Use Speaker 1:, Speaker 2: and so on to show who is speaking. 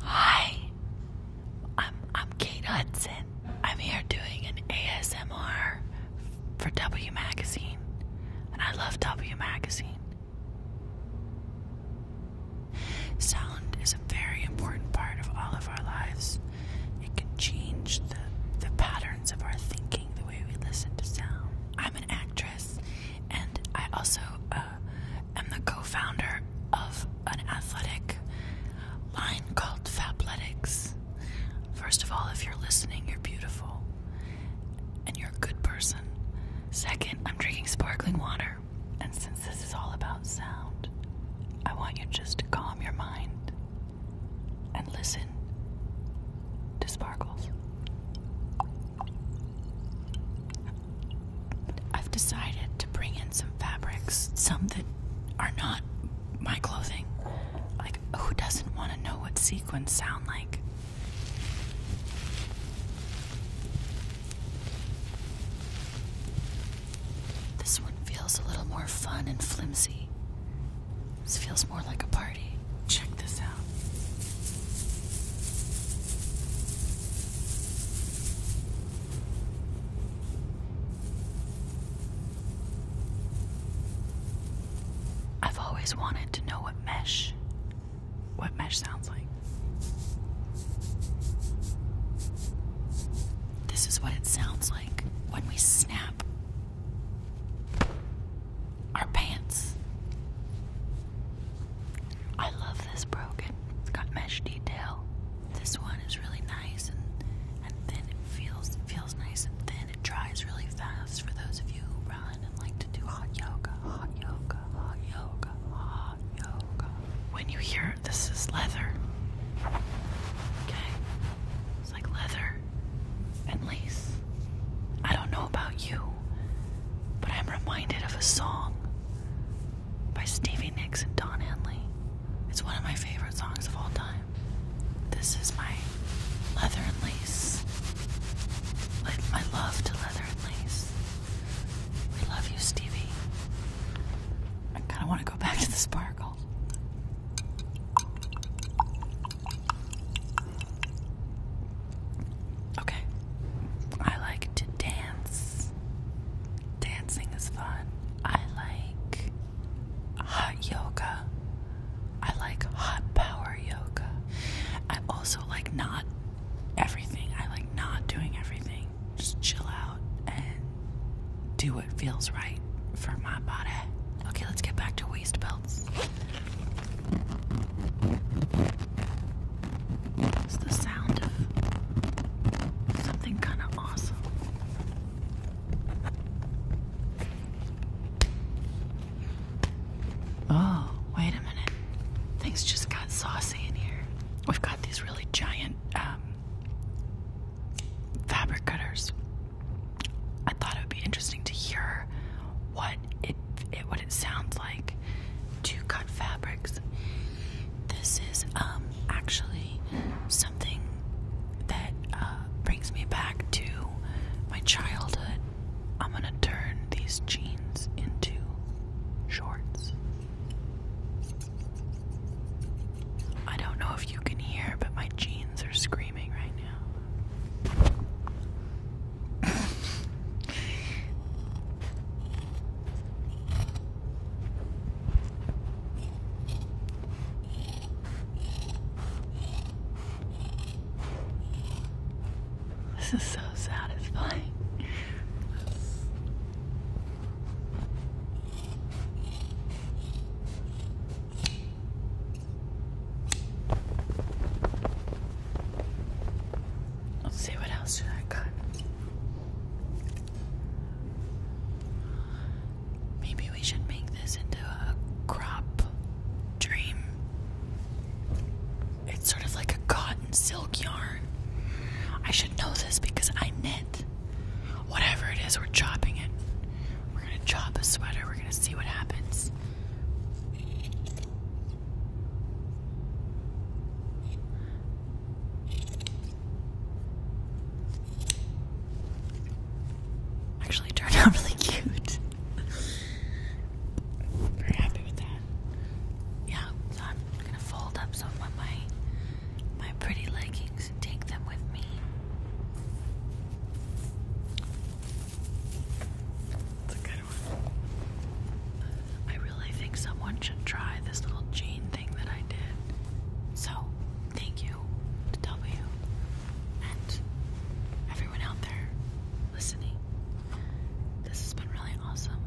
Speaker 1: Hi, I'm, I'm Kate Hudson. I'm here doing an ASMR for W Magazine, and I love W Magazine. Sound is a very important part of all of our lives. It can change the, the patterns of our thinking, the way we listen to sound. I'm an actress, and I also uh, i am the co founder of an athletic line called Fabletics. First of all, if you're listening, you're beautiful and you're a good person. Second, I'm drinking sparkling water. And since this is all about sound, I want you just to calm your mind and listen to sparkles. I've decided to bring in some fabrics, some that are not my clothing. Like, who doesn't want to know what sequins sound like? This one feels a little more fun and flimsy. This feels more like a party. Check this out. I've always wanted to know what mesh what mesh sounds like. This is what it sounds like when we snap our pants. I love this broken. It's got mesh detail. This one is really nice and and thin. It feels feels nice and thin. It dries really fast for those of you who run and like to do hot yoga, hot yoga, hot yoga, hot yoga. When you hear this is leather. Okay. It's like leather and lace. I don't know about you, but I'm reminded of a song by Stevie Nicks and Don Henley. It's one of my favorite songs of all time. This is my leather and lace. Like love to leather and lace. We love you, Stevie. I kind of want to go back to the sparkle. Okay. I like to dance. Dancing is fun. I like hot yoga. I like hot power yoga. I also like not everything. I like not doing everything. Just chill out and do what feels right for my body. Okay, let's get back to waist belts. It's the sound of something kind of awesome. Oh, wait a minute. Things just got saucy in here. We've got these really giant um, fabric cutters. I thought it would be interesting to hear what but it it what it sounds like to cut fabrics. This is um actually something that uh, brings me back to my childhood. I'm gonna turn these jeans into shorts. I don't know if you can hear, but my jeans are screaming right now this is so satisfying. Let's see what else do I cut. Maybe we should make this into a crop dream. It's sort of like a cotton silk yarn. I should know this because I knit. Whatever it is, we're chopping it. We're gonna chop a sweater, we're gonna see what happens. Actually turned out really cute. Very happy with that. Yeah, so I'm gonna fold up some of my my pretty leggings and take them with me. I really think someone should try this little gene thing that I did. So, thank you W and everyone out there listening. This has been really awesome.